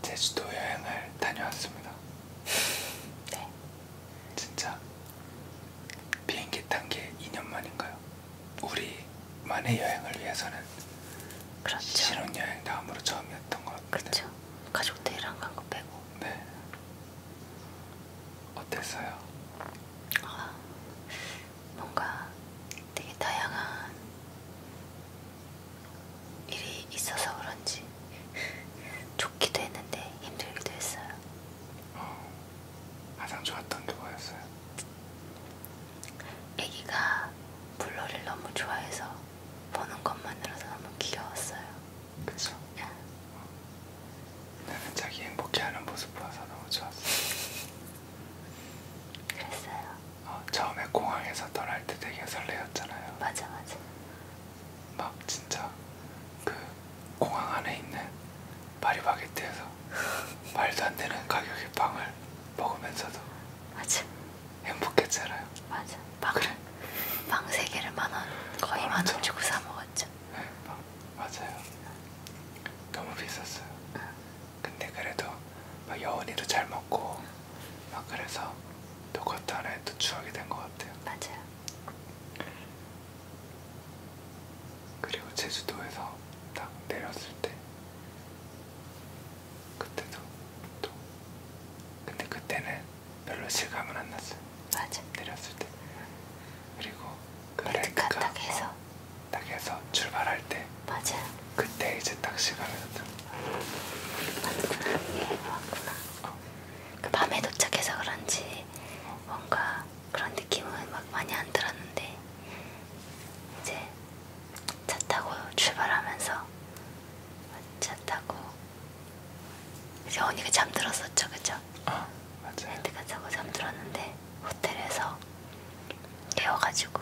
제주도 여행을 다녀왔습니다. 네. 진짜 비행기 탄 게 2년 만인가요? 우리만의 여행을 위해서는 그렇죠. 신혼여행 다음으로 처음이었던 것 같아요. 그렇죠. 가족들이랑 간 거 빼고. 네. 어땠어요? 아, 뭔가 되게 다양한 일이 있어서 그런지 좋기도 했는데 힘들기도 했어요. 어, 가장 좋았던 게 뭐였어요? 애기가 블러를 너무 좋아해서 보는 것만으로도 너무 귀여웠어요. 그쵸? 응. 예. 어. 나는 자기 행복해하는 모습 보아서 너무 좋았어. 그랬어요. 어, 처음에 공항에서 떠날 때 되게 설레었잖아요. 맞아 맞아. 막 진짜 그 공항 안에 있는 파리바게트에서 말도 안 되는 가격의 빵을 먹으면서도 맞아. 행복했잖아요. 맞아. 빵을 그래. 빵세 개를 만 원, 거의 아, 만원 주고 사 먹었죠. 네, 빵, 맞아요. 너무 비쌌어요. 응. 근데 그래도 막 여운이도 잘 먹고. 응. 막 그래서 또 그것도 하나의 또 추억이 된 것 같아요. 맞아요. 그리고 제주도에서 딱 내렸을 때 그때도 또 근데 그때는 별로 실감은 안 났어요. 맞아. 내렸을 때 그리고 그 렌트카 딱 해서 딱 해서 출발할 때 맞아. 그때 이제 딱 시간을 맞구나. 예, 왔구나. 어. 그 밤에 도착해서 그런지 뭔가 그런 느낌은 막 많이 안 들었는데 이제 차 타고 출발하면서 차 타고 이제 언니가 잠들었었죠, 그죠? 아, 맞아요. 렌트카 타고 잠들었는데 호텔에서 깨워가지고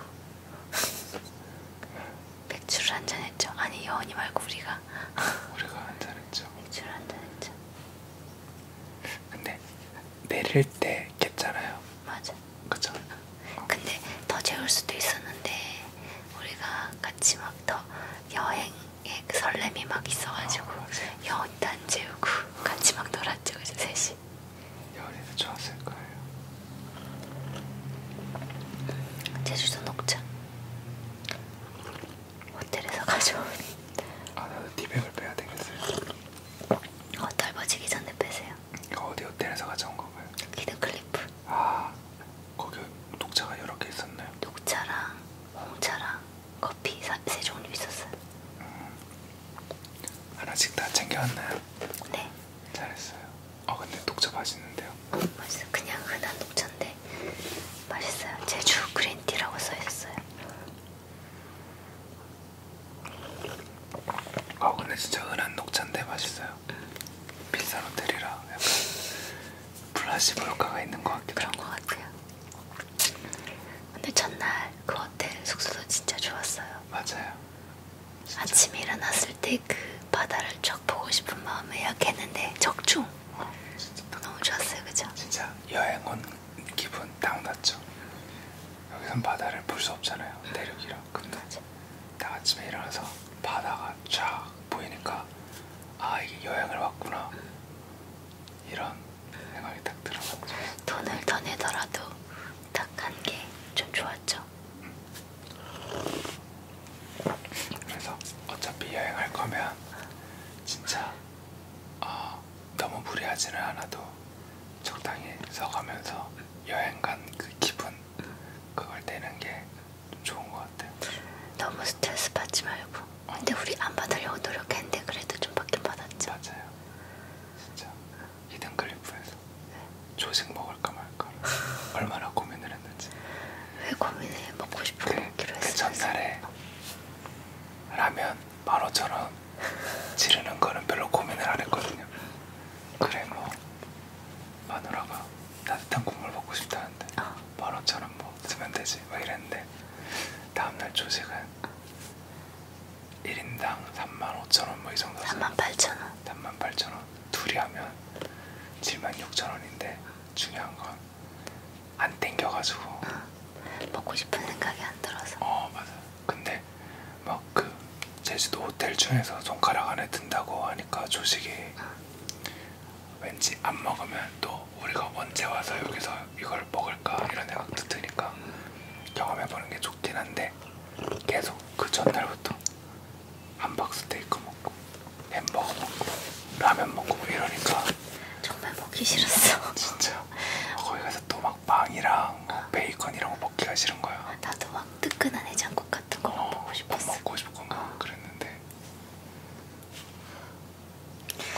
맥주를 한잔 했죠. 아니 여원이 말고 우리가 우리가 한잔 했죠. 맥주를 한잔 했죠. 근데 내릴 때 깼잖아요. 맞아. 그죠. 근데 더 재울 수도 있었는데 우리가 같이 막더 여행의 그 설렘이 막 있어가지고 어, 여운도 안 재우고 같이 막 놀았죠. 그죠 셋이. 여운이도 좋았을 거예요. 제주도 녹차 호텔에서 가져온 아 나도 티백을 빼야 되겠어요 어 덜어지기 전에 빼세요 이거 어, 어디 호텔에서 가져온 거고요? 기드 클리프 아 거기 녹차가 여러 개 있었나요? 녹차랑 홍차랑 커피 사, 세 종류 있었어요 음. 하나씩 다 챙겨왔나요? 네 잘했어요 아 근데 녹차 맛있는데요? 어, 맛있어. 그냥 흔한 녹차인데 맛있어요. 제주 그린티라고 써있어요. 아 근데 진짜 흔한 녹차인데 맛있어요. 응. 비싼 호텔이라 약간 플라시보 효과가 있는 것 같기도 그런 것 같아요. 근데 첫날 그 호텔 숙소도 진짜 좋았어요. 맞아요. 아침에 일어났을 때 그 바다를 쫙 보고 싶은 마음에 예약했는데 적중! 어, 너무 좋았어요 그죠? 진짜 여행 온 기분 딱 났죠? 여기선 바다를 볼 수 없잖아요 대륙이라 음. 근데 딱 아침에 일어나서 바다가 쫙 보이니까 아 이게 여행을 왔구나 음. 이런 생각이 딱 들어서 돈을 더 내더라도 딱한게 좀 좋았죠? 음. 그래서 어차피 여행할 거면 진짜 어, 너무 무리하지는 않아도 적당히 써가면서 여행 간 그 기분 그걸 내는 게 좋은 것 같아요. 너무 스트레스 받지 말고. 어. 근데 우리 안 받으려고 노력했는데 그래도 좀 받긴 받았죠. 맞아요. 진짜 히든 클리프에서. 네. 조식 먹을까 말까 얼마나 고민을 했는지. 왜 고민해? 먹고 싶은 그, 먹기로 했어. 그 전날에 라면 만 오천 원 지르는 거는 별로 고민을 안 했거든요. 그래 뭐 마누라가 따뜻한 국물 먹고 싶다는데 아. 만 오천 원뭐 쓰면 되지 막 이랬는데 다음날 조식은. 1인당 3만 5천 원뭐이 정도 3만 8천 원 3만 8천 원 둘이 하면 76,000원인데 중요한 건 안 땡겨가지고 어, 먹고 싶은 생각이 안 들어서 어 맞아 근데 막 그 제주도 호텔 중에서 손가락 안에 든다고 하니까 조식이 어. 왠지 안 먹으면 또 우리가 언제 와서 여기서 이걸 먹을까 이런 생각도 드니까 경험해보는 게 좋긴 한데 계속 그 전날부터 함박스테이크 먹고 햄버거 먹고 라면 먹고 뭐 이러니까 정말 먹기 싫었어. 진짜 거기 가서 또막 빵이랑 어. 베이컨 이런 거 먹기가 싫은 거야. 나도 막 뜨끈한 해장국 같은 거 어, 먹고 싶었어. 먹고 싶고 막 어. 그랬는데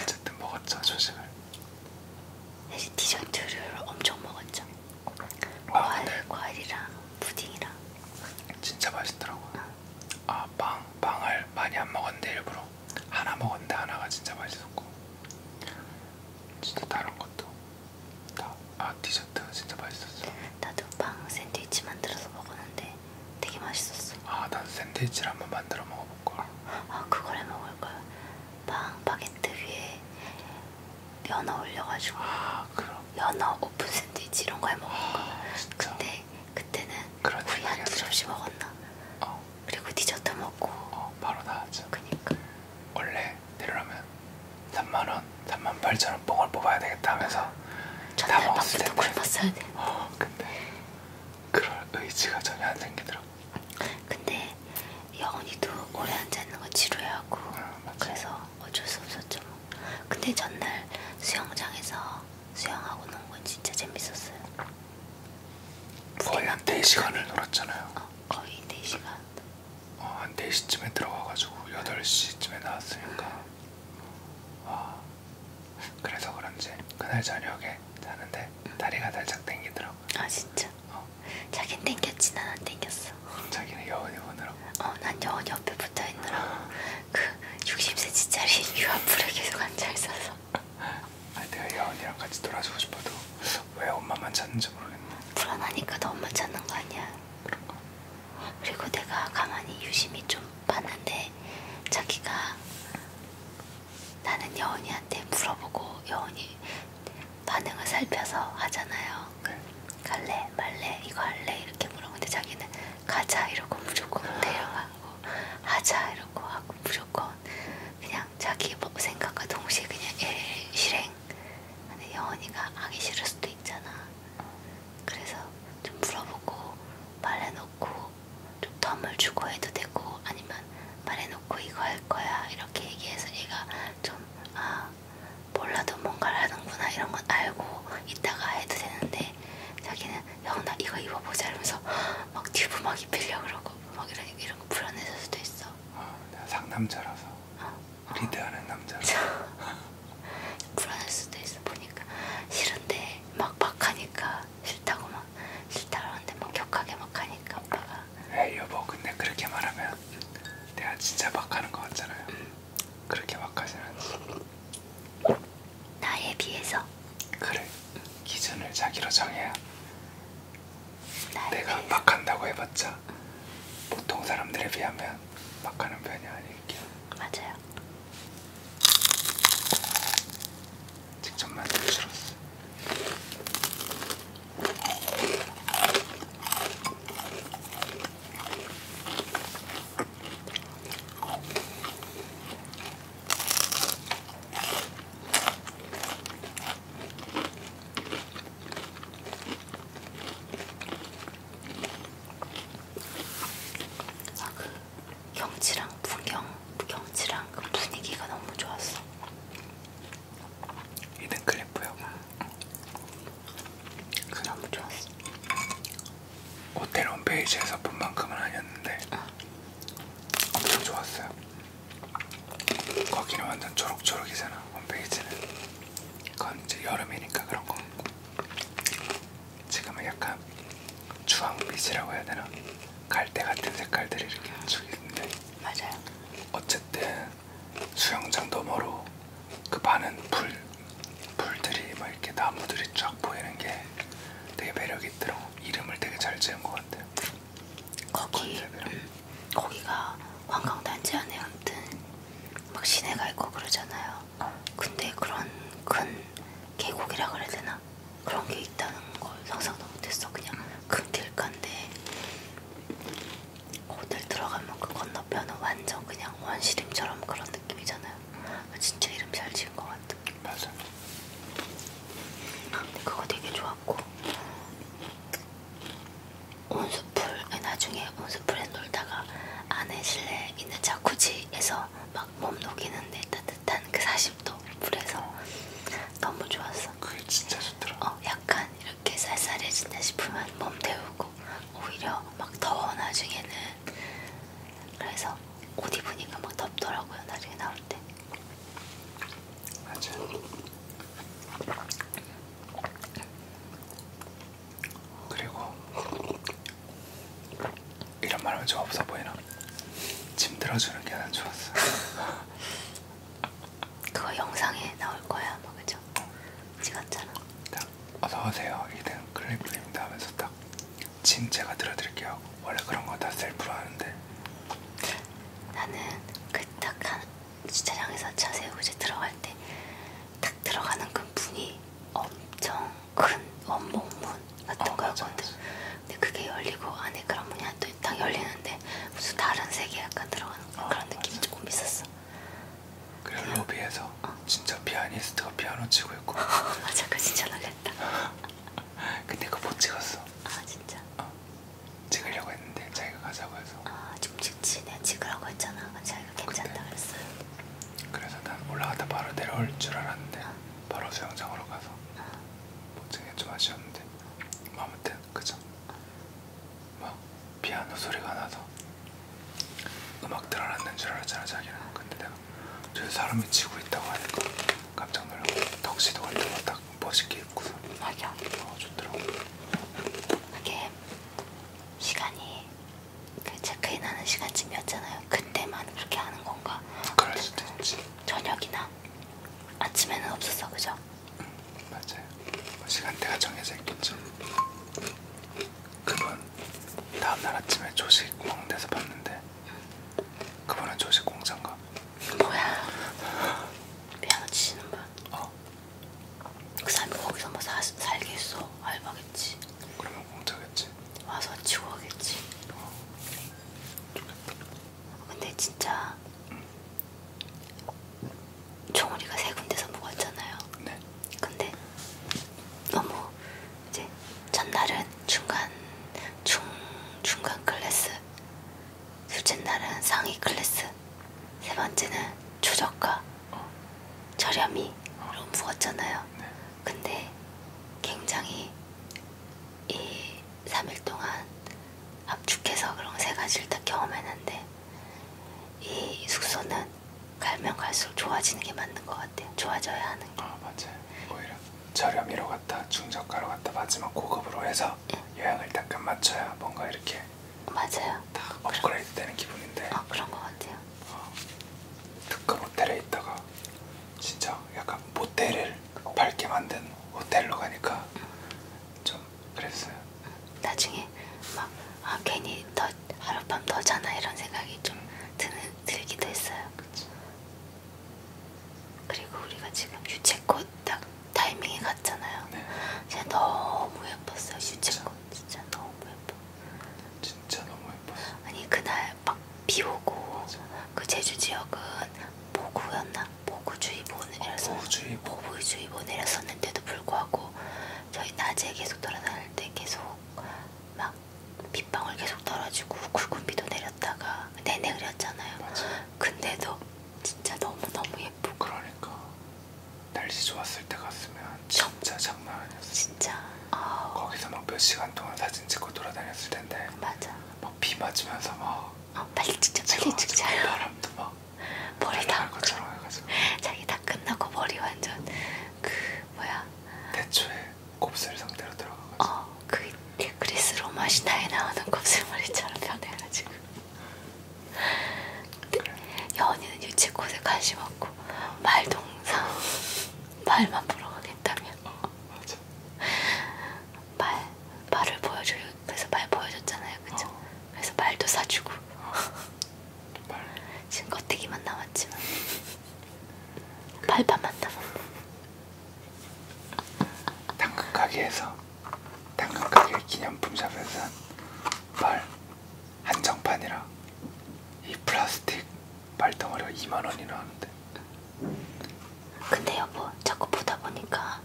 어쨌든 먹었죠 조식을. 사실 디저트를 엄청 먹었죠. 아, 과일, 네. 과일이랑 푸딩이랑. 진짜 맛있더라고. 어. 아. 아, 빵, 빵을 많이 안 먹었는데 일부러 하나 먹었는데 하나가 진짜 맛있었고 진짜 다른 것도 다, 아 디저트 진짜 맛있었어 나도 빵 샌드위치 만들어서 먹었는데 되게 맛있었어 아 나도 샌드위치를 한번 만들어 먹어볼걸 아 그걸 해먹을걸 빵 바게트 위에 연어 올려가지고 아 그럼 연어 오픈 뭐 샌드위치 이런 거 해먹은 거 아, 근데 그때는 우리 한두 접시 먹었나? 어. 그리고 디저트 먹고 어, 바로 나왔죠 그니까 원래 내려라면 3만원, 3만 8천원 뽕을 뽑아야 되겠다 하면서 다 먹었을 텐데 굶었어야 되는데 어, 근데 그럴 의지가 전혀 안 생기더라고 근데 영훈이도 오래 앉아있는 거 지루해하고 어, 그래서 어쩔 수 없었죠 근데 전날 수영장에서 수영하고 논건 진짜 재밌었어요. 거의 한 4시간을 놀았잖아요. 어, 거의 4시간. 어, 한 4시쯤에 들어가가지고 8시쯤에 나왔으니까. 어, 그래서 그런지 그날 저녁에 자는데 다리가 살짝 땡기더라고요. 아 진짜? 어. 자긴 땡겼지 난안 땡겼어. 자기는 여운이 오느라고. 어, 난 여운 옆에 붙어있느라고. 그 60cm짜리 유아풀에 계속 앉아 있어서. 아니 내가 예언이랑 같이 놀아주고 싶어도 왜 엄마만 찾는지 모르겠네. 불안하니까 너 엄마 찾는 거 아니야. 그런가? 그리고 내가 가만히 유심히 좀 봤는데 자기가 나는 여운이한테 물어보고 여운이 반응을 살펴서 하잖아요. 네. 갈래 말래 이거 할래 이렇게 물어보는데 자기는 가자 이러고 무조건 데려가고 하자 이러고 하고 무조건 그냥 자기 뭐 생각과 동시에 그냥 일 실행 근데 영원이가 하기 싫을 수도 있잖아 그래서 좀 물어보고 말해놓고 좀 덤을 주고 해도 되고 아니면 말해놓고 이거 할 거야 이렇게 얘기해서 얘가 좀 아 몰라도 뭔가를 하는구나 이런 건 알고 있다가 해도 되는데 있는데 자기는 야나 이거 입어보자 이러면서 막 튜브 막 입히려고 그러고 막 이런, 이런 거 불안해질 수도 있어 어, 내가 상남자라서 어, 리드하는 어. 남자라서 불안할 수도 있어 보니까 싫은데 막 막 하니까 싫다고 막 싫다 그러는데 막 격하게 막 하니까 오빠가 에이 여보 근데 그렇게 말하면 내가 진짜 막 하는 거 같잖아요 음. 그렇게 막하진 않지. 나에 비해서. 그래. 기준을 자기로 정해야. 내가 비해서. 막한다고 해봤자 보통 사람들에 비하면 막하는 편이 아닐게요. 맞아요. 직접 만들어 줄었어. 그래서 아, 그 경치랑 풍경, 경치랑 그 분위기가 너무 좋았어. 이는 클래프요. 응. 그, 너무 좋았어. 호텔 홈페이지에서 본 만큼은 아니었는데 아. 엄청 좋았어요. 거기는 완전 초록초록이잖아 홈페이지는. 그건 이제 여름이니까 그런 거. 지금은 약간 주황빛이라고 해야 되나? 갈대 같은 색깔들이 이렇게 아. 쭉 있는데. 맞아요. 어쨌든 수영장 너머로 그 반은 불 풀들이 막 이렇게 나무들이 쫙 보이는 게 되게 매력 있더라고. 이름을 되게 잘 지은 것 같아요. 거기 음, 거기가 관광단지 안에 아무튼 막 시내가 있고 그러잖아요. 어. 근데 그런 큰 계곡이라 그래야 되나 그런 게 있다는 걸 상상도 못했어. 그냥 큰 길가인데 호텔 들어가면 그 건너편은 완전 그냥 원시림처럼 그런 느낌이잖아요. 있잖아요. 진짜 이름 잘 지은 것 같아. 맞아. 근데 그거 되게 좋았고 온수풀 나중에 온수풀에 놀다가 안에 실내에 있는 자쿠지에서 막 몸 녹이는데 따뜻한 그 40도 물에서 너무 좋았어. 그게 진짜 좋더라. 어, 약간 이렇게 쌀쌀해진다 싶으면 몸 데우고 오히려 막 더워 나중에는 그래서 옷 입으니까 막 덥더라고요. 나중에 나올 때. 맞아. 그리고 이런 말하면 좀 없어 보이나? 짐 들어주는 게 난 좋았어. 그거 영상에 나올 거야, 뭐 그죠? 찍었잖아. 어. 딱 어서 오세요. 이등 클리프입니다 하면서 딱진 제가 들어드릴게요. 원래 그런 거 다 셀프로 하는데. 나는 그 딱 한 주차장에서 차 세우고 이제 들어갈 때딱 들어가는 그 문이 엄청 큰 원목문 같은 어, 거였거든. 맞아, 맞아. 근데 그게 열리고 안에 그런 문이 또딱 열리는데 무슨 다른 세계 약간 들어가는 어, 그런 느낌이 맞아. 조금 있었어. 그리고 로비에서 진짜 피아니스트가 피아노 치고 있고. 아 잠깐 진짜 나겠다. 근데 그거 못 찍었어. 아 진짜. 어. 찍으려고 했는데 자기가 가자고 해서. 아 좀 찍지 내가 찍으라고 했잖아. 자기가 괜찮다 그랬어요. 그래서 난 올라갔다 바로 내려올 줄 알았는데 어. 바로 수영장으로 가서 어. 못 찍게 좀 아쉬웠는데 뭐 아무튼 그죠. 막 피아노 소리가 나서 음악 들어놨는 줄 알았잖아 자기는. 근데 거예요. 저 사람이 치고 있다고 하니까 깜짝 놀라고 턱시도 같은 거딱 멋있게 입고서 맞아. 어, 좋더라고. 그게 시간이 그 체크인 하는 시간쯤이었잖아요. 그때만 그렇게 하는 건가? 그럴 수도 있지. 저녁이나 아침에는 없었어, 그죠? 응, 맞아요. 시간대가 정해져 있겠죠. 그분 다음날 아침에 조식 먹는 데서 봤는데 그분은 조식 공장가 뭐야 피아노 치시는 거야? 어. 그 사람이 거기서 뭐 사, 살게 했어 알바겠지 그러면 공짜겠지 와서 치고 하겠지 어. 근데 진짜 응. 종우리가 세 군데서 묵었잖아요 뭐 네. 근데 너무 이제 첫날은 중간 중 중간 클래스, 둘째 날은 상위 클래스, 세 번째는 최저가 어. 저렴이로 어. 묵었잖아요. 네. 근데 굉장히 이 3일 동안 압축해서 그런 세 가지를 다 경험했는데 이 숙소는 갈면 갈수록 좋아지는 게 맞는 것 같아요. 좋아져야 하는 게. 아 맞아요. 오히려 저렴이로 갔다 중저가로 갔다 마지막 고급으로 해서 예. 요양을 잠깐 맞춰야 뭔가 이렇게 맞아요. 다 업그레이드 되는 기분인데. 아 어, 그런 것 같아요. 어, 특급 호텔에 있다가 진짜 약간 모텔을 밝게 만든 호텔로 가니까 음. 좀 그랬어요. 나중에 막 아, 괜히 더 하룻밤 더잖아 이런 생각이 좀 음. 드는 들기도 했어요. 그쵸. 그리고 우리가 지금 유채꽃 딱 타이밍에 갔잖아요. 네. 진짜 너무 예뻤어요. 유채꽃 진짜 너무 예뻐. 진짜 너무 예뻤어. 아니 그날 막 비오고 그 제주 지역은 보구였나 보구주의보 아, 내렸어. 보구주의보. 보구주의보 내렸었는데도 불구하고 저희 낮에 계속 돌아다닐 때 계속 막 빗방울 계속 떨어지고 굵은 비도 내렸다가 내내 네, 네 그렸잖아요. 맞아. 근데도 진짜 너무 너무 예쁘고. 그러니까 날씨 좋았을 때 갔으면 진짜 저... 장난 아니었어. 진짜. 아... 거기서 막 몇 시간 동안 사진 찍고 돌아다녔을 텐데. 맞아. 막비 맞으면서 막. 아 어, 빨리 찍자 빨리 찍자. 바람도 막. 머리 다. 것처럼 해가지고. 자기 다 끝나고 머리 완전 그 뭐야. 대초에 곱슬 상태로 들어가가지고 어, 그 그리스 로마 신화에 나오는 곱슬머리처럼 변해가지고 그래. 여언니는 유채꽃에 관심 없고 말동상 말만 보러 가겠다며 어, 맞아. 말, 말을 보여줘요 그래서 말 보여줬잖아요 그쵸? 어. 그래서 말도 사주고 어. 말. 지금 껍데기만 남았지만 팔팔만 남았네. 당근 가게에서 당근 가게 기념품 샵에서 발 한정판이라 이 플라스틱 발덩어리가 2만 원이나 하는데. 근데 여보 자꾸 보다 보니까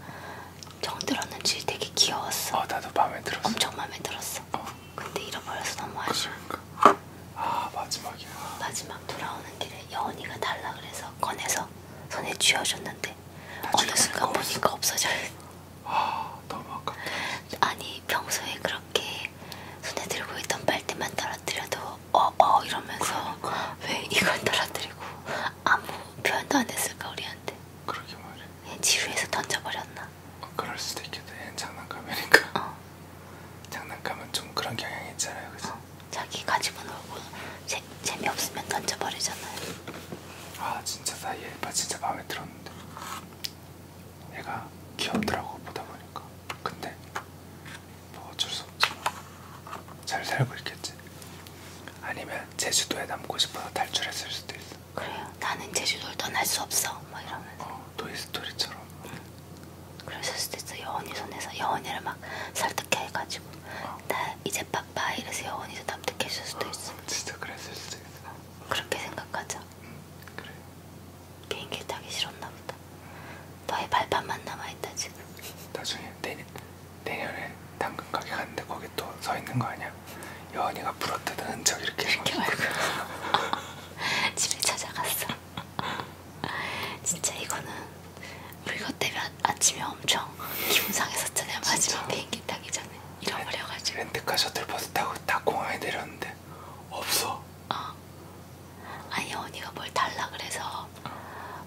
정 들었는지 되게 귀여웠어. 어 나도 마음에 들었어. 엄청 마음에 들었어. 어. 근데 잃어버려서 너무 아쉬워. 그러니까. 아 마지막이야. 마지막 돌아오는 길에 여언이가 달라 그래서 꺼내서 손에 쥐어줬는데 어느 순간 보니까 없어져. 아 너무 아깝다. 아니 평소에 그렇게 손에 들고 있던 빨대만 떨어뜨려도 어어 어, 이러면서 그러니까. 왜 이걸 떨어뜨리고 아무 표현도 안 했을까 우리한테. 그러게 말해. 예, 지루해서 던져버렸나? 어, 그럴 수도 있겠다. 장난감이니까. 어. 장난감은 좀 그런 경향이 있잖아요, 그죠? 어, 자기 가지고 놀고 재, 재미없으면 던져버리잖아요. 아 진짜 나얘 진짜 마음에 들었는데 얘가 귀엽더라고 보다 보니까. 근데 뭐 어쩔 수 없지만 뭐. 잘 살고 있겠지. 아니면 제주도에 남고 싶어서 탈출했을 수도 있어. 그래요. 나는 제주도를 떠날 수 없어. 뭐 이러면서. 어. 토이스토리처럼 그래서 수도 있어 여원이 손에서 여원이를 막 설득해 가지고 어. 아. 나 이제 바빠 이래서 여원이도 납득했을 수도 아, 있어 어, 진짜 그랬을 수도 있어 그렇게 생각하자 응, 음, 그래 비행기 타기 싫었나 보다 너의 발판만 남아있다 지금 나중에 내년, 내년에 당근 가게 갔는데 거기 또 서있는 거 아니야? 여원이가 부러뜨는 흔적 이렇게 이렇게 말고 집에 찾아갔어 진짜 이거는 우리 이것 때문에 아침에 엄청 기분 상했었잖아요. 마지막 비행기 타기 전에 잃어버려가지고. 렌트카 셔틀버스 타고 딱 공항에 내렸는데 없어. 어. 아니 언니가 뭘 달라 그래서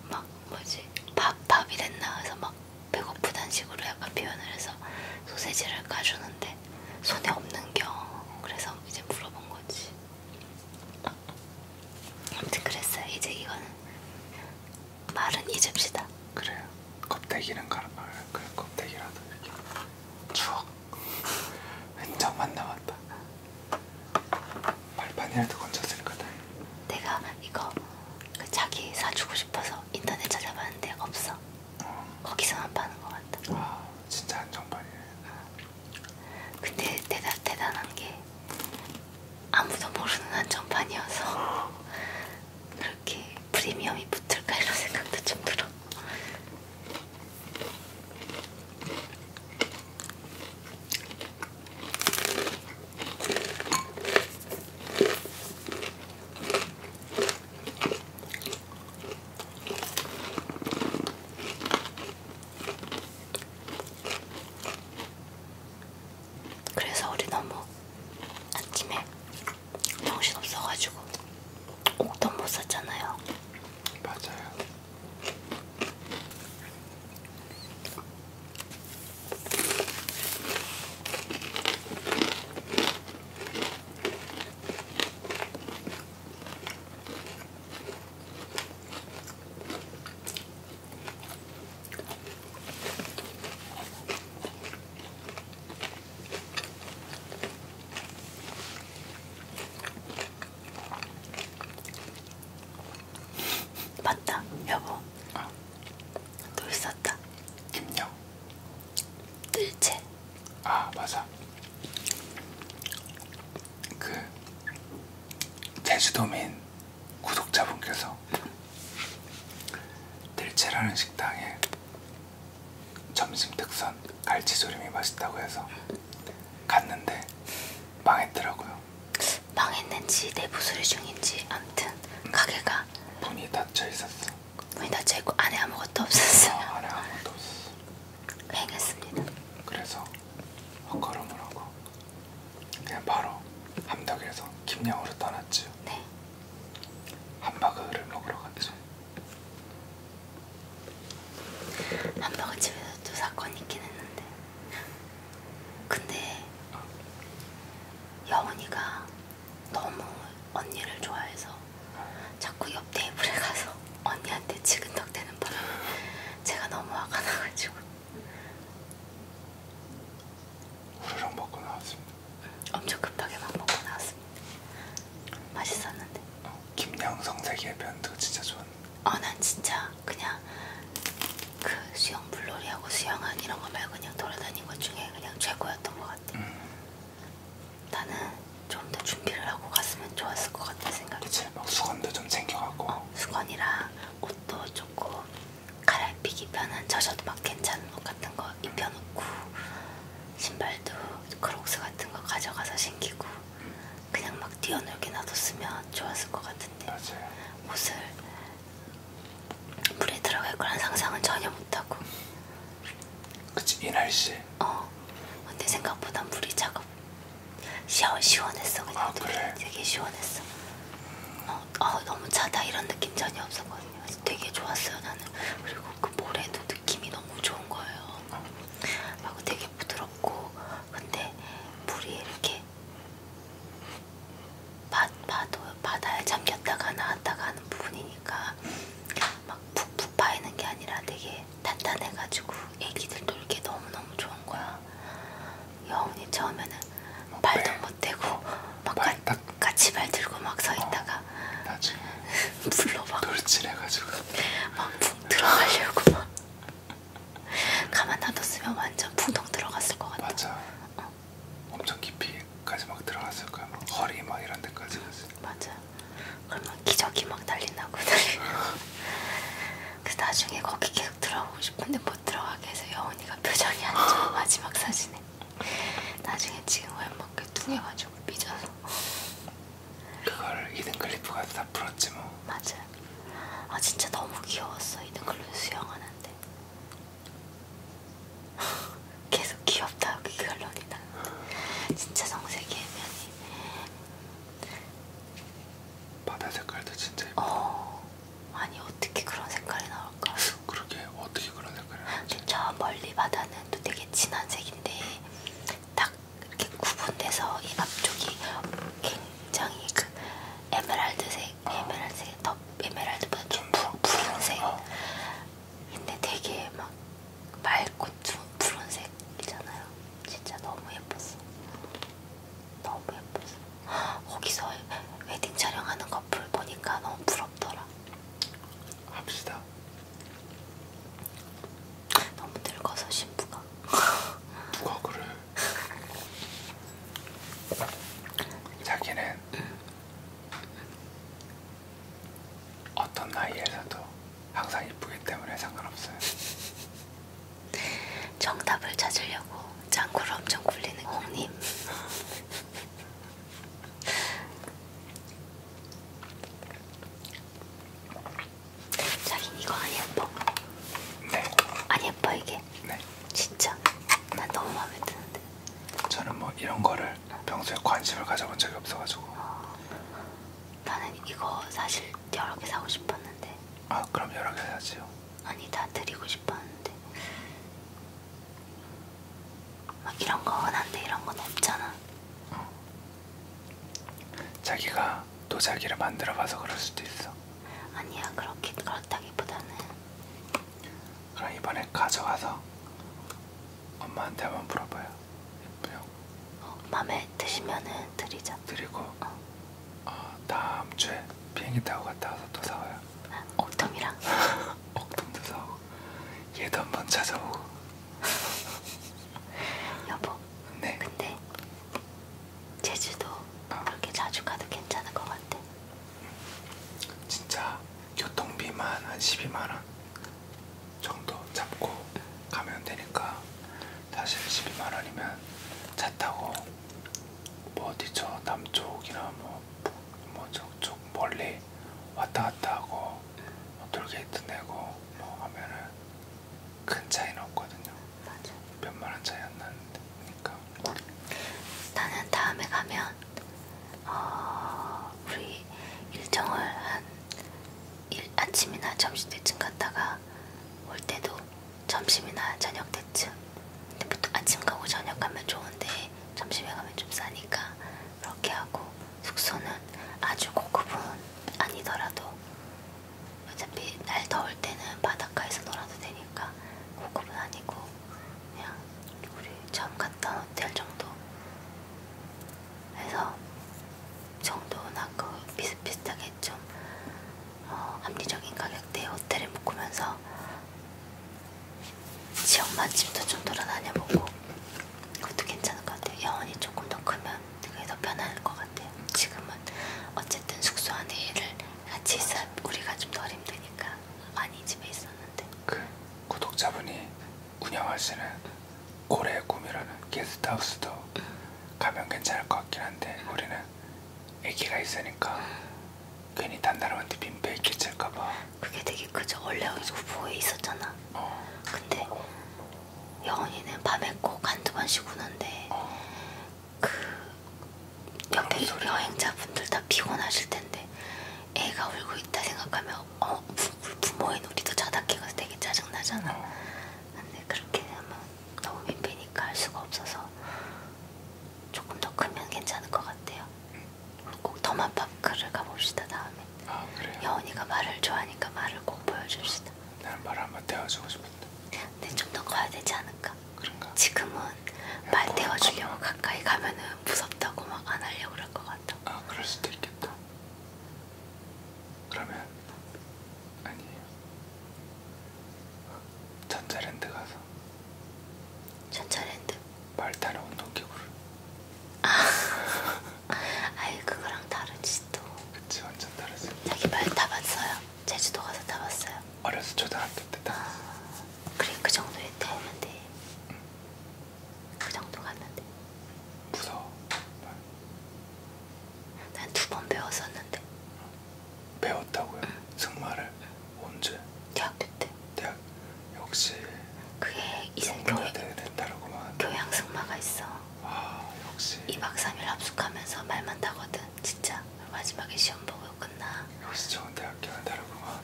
막 뭐지 밥 밥이랬나 해서 막 배고프단 식으로 약간 표현을 해서 소세지를 까주는데 손에 없는 경 그래서 이제 물어본 거지. 어. 아무튼 그랬어요. 이제 이거는 말은 잊읍시다. 그래요. 껍데기는 갈아요. 그 껍데기라도 이렇게 추억 흔적만 남았다. 발판이라도 건졌을 거다. 내가 이거 그 자기 사주고 싶어서 인터넷 찾아봤는데 없어. 어. 거기서만 파는 것 같다. 아 진짜 한정판이네. 어. 근데 대단, 대단한 게 아무도 모르는 한정판이어서 그렇게 프리미엄이 붙을까 이런 생각도 좀 들어. 그래서 우리 너무 아침에 정신 없어가지고 옷도 못 샀잖아요. 맞아요. 맞다, 여보. 어. 또 있었다. 김영. 뜰채. 아 맞아. 그 제주도민 구독자분께서 들채라는 식당에 점심 특선 갈치조림이 맛있다고 해서 갔는데 망했더라고요. 망했는지 내부 수리 중인지 암튼 가게가 문이 닫혀 있었어. 문이 닫혀 있고 안에 아무것도 없었어요. 어, 안에 아무것도 없었어. 행했습니다. 그래서 헛걸음을 하고 그냥 바로 함덕에서 김양으로 떠났지요. 네. 함박을 먹으러 갔죠. 함박어 집에서 또 사건이 있긴 했는데 근데 어. 영훈이가 너무 언니를 좋아해서 자꾸 옆 테이블에 가서 언니한테 지근덕대는 바람에 제가 너무 화가 나가지고 우르렁 먹고 나왔습니다. 엄청 급하게 막 먹고 나왔습니다. 맛있었는데. 어, 김양성세계의 변도 진짜 좋았는데. 어, 난 진짜 그냥 그 수영 물놀이하고 수영한 이런 거 말고 그냥 돌아다닌 것 중에 그냥 최고였던 것 같아. 음. 나는 좀 더 준비를 하고 갔으면 좋았을 것 같은 생각이. 그치, 막 수건도 좀 챙겨가고. 어, 어, 수건이랑 옷도 조금 갈아입히기 편한 젖어도 막 괜찮은 옷 같은 거 입혀놓고 신발도 크록스 같은 거 가져가서 신기고 그냥 막 뛰어놀게 놔뒀으면 좋았을 것 같은데 맞아요. 옷을 물에 들어갈 거란 상상은 전혀 못하고 그치 이 날씨 어 근데 생각보다 물이 차가워 시원, 시원했어 그냥 아, 그래? 되게 시원했어 어, 어, 너무 차다 이런 느낌 전혀 없었거든요 그래서 되게 좋았어요 나는 그리고 그 모래도 느낌이 너무 좋은 거예요 그리고 되게 부드럽고 근데 물이 이렇게 받, 받아, 바다에 잠겼다가 나왔다가 하는 부분이니까 막 푹푹 파이는 게 아니라 되게 되게 탄탄해가지고 애기들 놀기 너무너무 좋은 거야. 여운이 처음에는 어, 발도 발, 네. 못 대고 막 발, 가, 딱, 같이 발 들고 막 서있다가 어, 나중에 불러 막 돌진해가지고 막푹 들어가려고 막 가만 놔뒀으면 완전 풍덩 들어갔을 것 같아. 맞아. 어. 엄청 깊이까지 막 들어갔을 거야. 막 허리 막 이런 데까지. 맞아. 그러면 기저귀 막 난리 나고 난리. 그래서 나중에 거기 계속 들어가고 싶은데 못 들어가게 해서 여운이가 표정이 안 좋아 마지막 사진에 나중에 지금 웬만큼 뚱해가지고 삐져서 그걸 이든 클리프가 다 풀었지 뭐 맞아요 아 진짜 너무 귀여웠어 이든 클리프 수영하는데 계속 귀엽다 여기 그 결론이 나 진짜 정색이 애매하니 바다 색깔도 진짜 예뻐. 어, 아니 어떻게 그런 색깔이 나올까? 그러게 어떻게 그런 색깔이 나올까? 저 멀리 바다는 또 되게 진한 색인데 딱 이렇게 구분돼서 이 앞쪽이 굉장히 그 에메랄드색, 어. 아. 에메랄드색 더 에메랄드보다 좀 푸른색. 어. 근데 되게 막 맑고 좀 푸른색 이잖아요. 진짜 너무 예뻤어. 너무 예뻤어. 거기서 웨딩 촬영하는 커플 보니까 너무 부럽더라. 합시다. 너무 늙어서 신부가. 누가 그래? 자기는 어떤 나이에서도 항상 이쁘기 때문에 상관없어요. 정답을 찾으려고 짱구를 엄청 굴리는 홍님. 자긴 이거 안 예뻐. 네. 안 예뻐 이게. 네. 진짜. 난 너무 마음에 드는데. 저는 뭐 이런 거를 평소에 관심을 가져본 적이 없어가지고. 어, 나는 이거 사실 여러 개 사고 싶었는데 아 그럼 여러 개 해야지요. 아니 다 드리고 싶었는데 막 이런 거 원한데 이런 건 없잖아. 어. 자기가 도자기를 만들어봐서 그럴 수도 있어. 아니야 그렇게 그렇다기보다는. 그럼 이번에 가져가서 엄마한테 한번 물어봐요. 예쁘요. 어, 마음에 드시면은 드리자. 드리고. 어. 어, 다음 주에 비행기 타고 갔다 와서 또 사와요. 옥돔이랑? 옥돔도 사오고 얘도 한번 찾아오고. 여보. 네. 근데 제주도 어. 그렇게 자주 가도 괜찮은 것 같아. 진짜 교통비만 한 12만 원 정도 잡고 가면 되니까 사실 12만원이면 차 타고 뭐 어디 저 남쪽이나 뭐, 뭐 저쪽 멀리 왔다 갔다 하고 뭐 돌게이트 내고 뭐 하면은 큰 차이는 없거든요. 맞아. 몇만원 차이 안 나는데. 그러니까. 나는 다음에 가면 어, 우리 일정을 한 일, 아침이나 점심 때쯤 갔다가 올 때도 점심이나 저녁 때쯤 근데 보통 아침 가고 저녁 가면 좋은데 점심에 가면 좀 싸니까 그렇게 하고 숙소는 아주 고급은 아니더라도 어차피 날 더울 때는 바닷가에서 놀아도 되니까 고급은 아니고 그냥 우리 처음 갔던 호텔 정도 해서 정도나 그 비슷비슷하게 좀 어, 합리적인 가격대의 호텔에 묵으면서 지역 맛집도 좀 돌아다녀보고 그것도 괜찮을 것 같아요. 영원이 조금 더 크면 그게 더 편할 것 같아요. 지금은 어쨌든 숙소 안에 일을 같이 있어 우리가 좀덜 힘드니까 많이 집에 있었는데 그 구독자분이 운영하시는 고래의 꿈이라는 게스트하우스도 음. 가면 괜찮을 것 같긴 한데 우리는 왜냐면은 아기가 있으니까 괜히 단다람한테 민폐 끼칠까봐. 그게 되게 크죠. 원래 우보에 있었잖아. 어. 근데 영원이는 밤에 꼭 한두 번씩 우는데 어. 그 옆에 여행자분들 다 피곤하실 텐데 애가 울고 있다 생각하면 어 부모인 우리도 자다 깨가서 되게 짜증 나잖아. 어. 근데 그렇게 하면 너무 민폐니까 할 수가 없어서 조금 더 크면 괜찮을 것 같아요. 꼭 더마파크를 가봅시다 다음에. 아 그래요? 여원이가 말을 좋아하니까 말을 꼭 보여줍시다. 나는 말 한번 태워주고 싶은데. 근데 네, 좀더 커야 되지 않을까? 그런가? 지금은 말 뭐 태워주려고 가까이 가면은 무섭다고 막 안 하려고 그럴 것 같아. 아 그럴 수도 있겠다. 그러면 아니에요. 전자랜드 가서 전자랜드? 말 타는 운동기구를 아, 아유 그거랑 다르지 또 그치 완전 다르지 자기 말 타봤어요? 제주도 가서 타봤어요? 어렸을 초등학교 때 타봤어 아, 그래 그 정도에 타면 돼 응. 그 정도 갔는데 무서워 말. 난두번 배웠었는데. 배웠다고요? 응. 승마를 언제? 대학교 때. 대학 역시. 그게 이승교회 교양 승마가 있어. 아 역시. 2박 3일 합숙하면서 말만 타거든. 진짜 마지막에 시험 보고 끝나. 역시 좋은 대학교는 다르구만.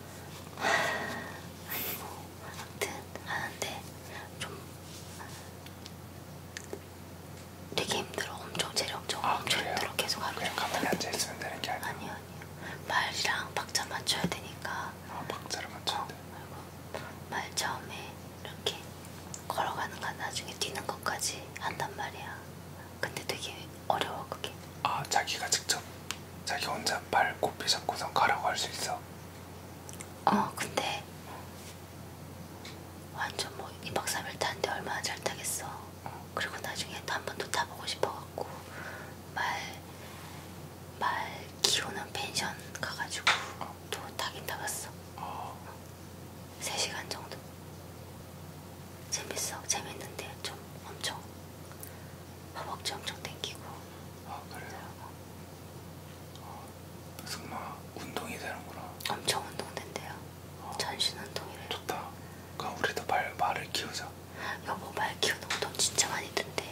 아니 뭐 아무튼 하는데 좀 되게 힘들어. 엄청 체력적으로 아, 엄청 그래요? 힘들어. 계속 하루 종일. 가만히 앉아 있으면 되는 게 아니야. 아니요, 아니요. 말이랑 박자 맞춰야 되니까. 아, 박자를 맞춰야 어, 돼. 어, 말 처음에 이렇게 걸어가는 건 나중에 뛰는 것까지 한단 말이야. 근데 되게 어려워 그게. 아, 자기가 직접 자기 혼자 발꼽히 잡고서 가라고 할 수 있어. 어, 근데 완전 뭐 2박 3일 탄데 얼마나 잘 타겠어. 그리고 나중에 또 한번또 타보고 싶어갖고 말, 말 키우는 펜션 가가지고 또 타긴 타봤어. 3시간 아. 정도. 재밌어. 재밌는데 좀 엄청 허벅지 엄청 땡기고. 아 그래요? 어, 승마 운동이 되는구나. 엄청 운동된대요. 전신운동이래. 좋다. 그럼 우리도 말, 말을 키우자. 여보 말 키우는 운동 진짜 많이 든대.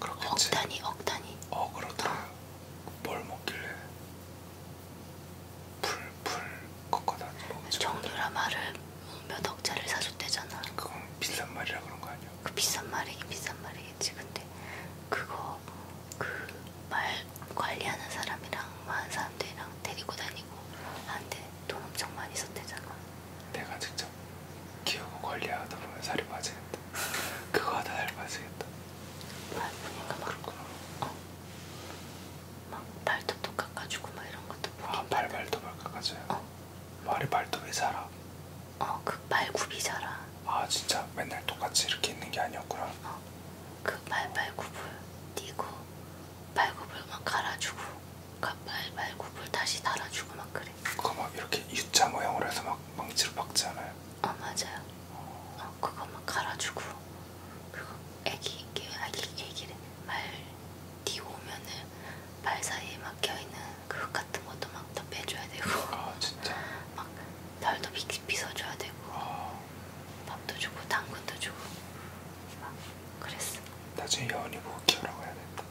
그렇겠지. 억단이 억단이. 어 그렇다. 어. 뭘 먹길래? 풀풀 꺾어다니 먹지. 정유라 말을 몇 억짜리 사줬대잖아. 그건 비싼 말이라 그런 거 아니야? 그 비싼 말이긴 비싼 말이겠지. 근데 그거 그말 관리하는 사람이랑 많은 사람들이랑 데리고 다니고 하는데 돈 엄청 많이 썼대잖아. 내가 직접 키우고 관리하다 보면 살이 빠지겠다. 그거 하다 살 빠지겠다. 말 보니까 막 그렇구나. 어. 막 발톱도 깎아주고 막 이런 것도 보니까. 아, 발 발톱을 깎아줘요? 어. 말이 발톱이 자라. 어, 그 말굽이 자라. 아, 진짜 맨날 똑같이 이렇게 있는 게 아니었구나. 어. 그 빨빨굽을 띄고 발굽을만 갈아주고 그 발발굽을 다시 달아주고 막 그래. 그거 막 이렇게 U자 모양으로 해서 막 망치로 박잖아요. 어 맞아요. 어 그거 막 갈아주고 그리고 애기 애기 애기를 말 뒤오면은 발 사이에 막혀 있는 그것 같은 것도 막다 빼줘야 되고. 아 진짜. 막 털도 빗 빗어줘야 되고. 아. 밥도 주고 당근도 주고 막 그랬어. 나중에 여운이 보고 키우라고 해야 된다.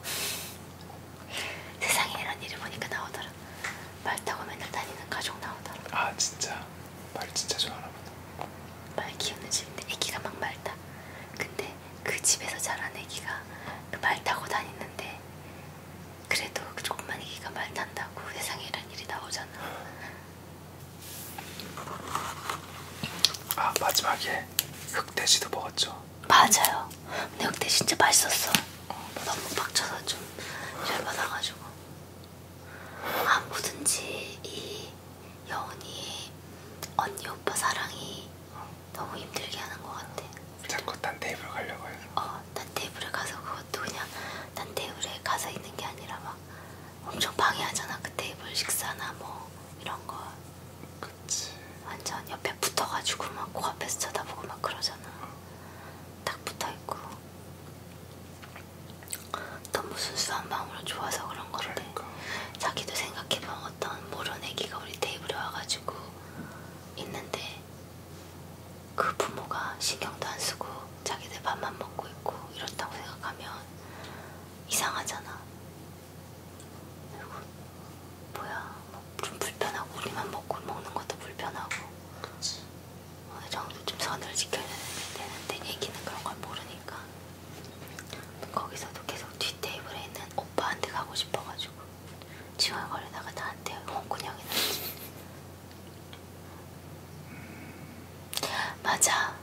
세상에 이런 일이 보니까 나오더라. 말 타고 맨날 다니는 가족 나오더라. 아 진짜 말 진짜 좋아하나 보다. 말 키우는 집인데 애기가 막말 타. 근데 그 집에서 자란 애기가 그말 타고 다니는데 그래도 그 조그만 애기가 말 탄다고 세상에 이런 일이 나오잖아. 아 마지막에 흑돼지도 먹었죠. 맞아요. 근데 흑돼 진짜 맛있었어. 어, 너무 박쳐서 좀 열받아가지고. 아 뭐든지 이 여운이 언니 오빠 사랑이 어. 너무 힘들게 하는 것 같아. 자꾸 딴 테이블 가려고 해서. 어, 딴 테이블에 가서 그것도 그냥 딴 테이블에 가서 있는 게 아니라 막 엄청 방해하잖아 그 테이블 식사나 뭐 이런 거. 그치. 완전 옆에 붙어가지고 막 코앞에서 쳐다보고 막 그러잖아. 딱 붙어있고. 너무 순수한 마음으로 좋아서 그런 건데. 그러니까. 자기도 생각해보면 어떤 모르는 애기가 우리 테이블에 와가지고 있는데 그 부모가 신경도 안 쓰고 자기들 밥만 먹고 있고 이렇다고 생각하면 이상하잖아. 그리고 뭐야, 뭐좀 불편하고 우리만 먹고 먹는 것도 불편하고. 그치. 어느 정도 좀 선을 지켜야 되는데 얘기는 그런 걸 모르니까. 거기서도 계속 뒷 테이블에 있는 오빠한테 가고 싶어가지고 지원거리다가 나한테 홍군형이 나지 음. 맞아.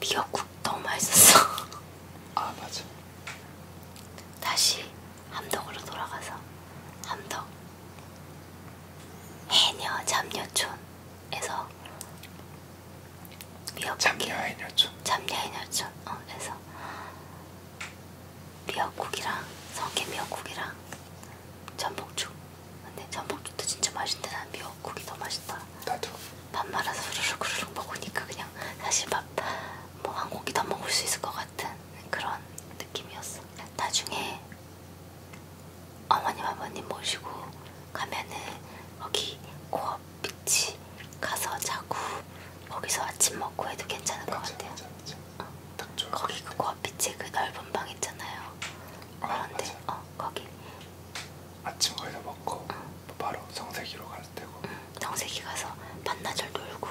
미역국 너무 맛있었어. 아 맞아. 다시 함덕으로 돌아가서 함덕 해녀 잠녀촌에서 미역국 잠녀 해녀촌 잠녀 해녀촌에서 미역국이랑 성게 미역국이랑 전복죽. 근데 전복죽도 진짜 맛있는데 난 미역국이 더 맛있다. 나도. 밥 말아서 후루룩 후루룩 먹으니까 그냥 사실 밥 뭐한 공기 더 먹을 수 있을 것 같은 그런 느낌이었어. 나중에 어머님 아버님 모시고 가면은 거기 고업 비치 가서 자고 거기서 아침 먹고 해도 괜찮을 맞아, 것 같아요. 맞아, 맞아. 어. 거기 그 고업 비치 그 넓은 방 있잖아요. 아, 그런데 아, 어. 거기 아침 거기서 먹고 응. 바로 성세기로 갈 때고 응. 성세기 가서 반나절 놀고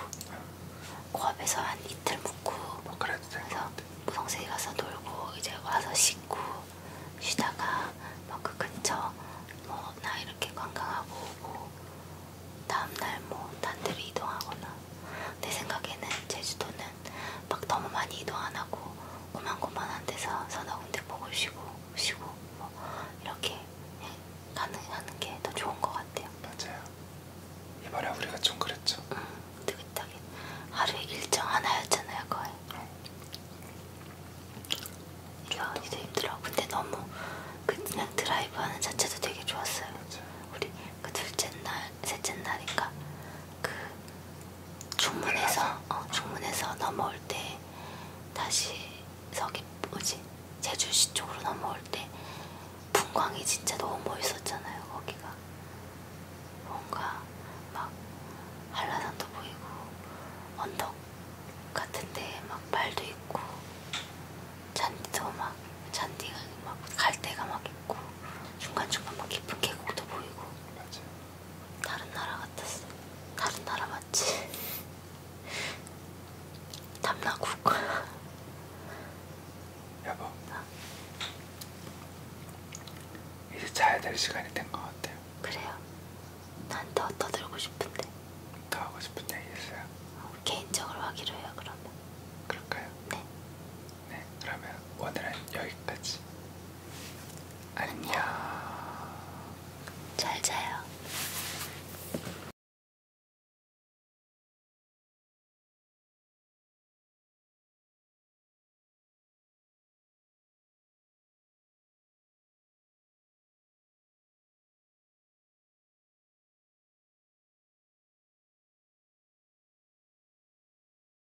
고압에서 응. 그한 이틀 묵고 뭐 그래도 그래서 성세기 가서 놀고 이제 와서 씻고 쉬다가 뭐그 근처 뭐 나 이렇게 관광하고 뭐 다음날 뭐 단들이 이동하거나 내 생각에는 제주도는 막 너무 많이 이도 안 하고 고만고만한 데서 서너 군데 보고 쉬고 쉬고 뭐 이렇게 가능하는 게 더 좋은 것 같아요. 맞아요. 이번에 우리가 좀 그랬죠. 응, 느긋하게 하루에 일정 하나였잖아요, 거의. 응. 이야, 이도 힘들어. 근데 너무 그 그냥 드라이브하는 자체도 되게 좋았어요. 맞아요. 우리 그 둘째 날, 셋째 날인가 그 중문에서 어, 중문에서 넘어올 때 다시 서귀 뭐지 제주시 쪽으로 넘어올 때 풍광이 진짜 너무 멋있었잖아요 거기가 뭔가 막 한라산도 보이고 언덕 같은데 막 말도 있고 잔디도 막 잔디가 막 갈대가 막 있고 중간중간 막 깊은 계곡도 보이고 맞아. 다른 나라 같았어. 다른 나라 맞지? 탐나국 거야. 여보. 어? 이제 자야 될 시간이 된 것 같아요. 그래요. 나한테 떠들고 싶은데. 더 하고 싶은 얘기 있어요? 어, 개인적으로 하기로 해요 그러면. 그럴까요? 네. 네, 그러면 오늘은 여기까지. 안녕. 잘 자요.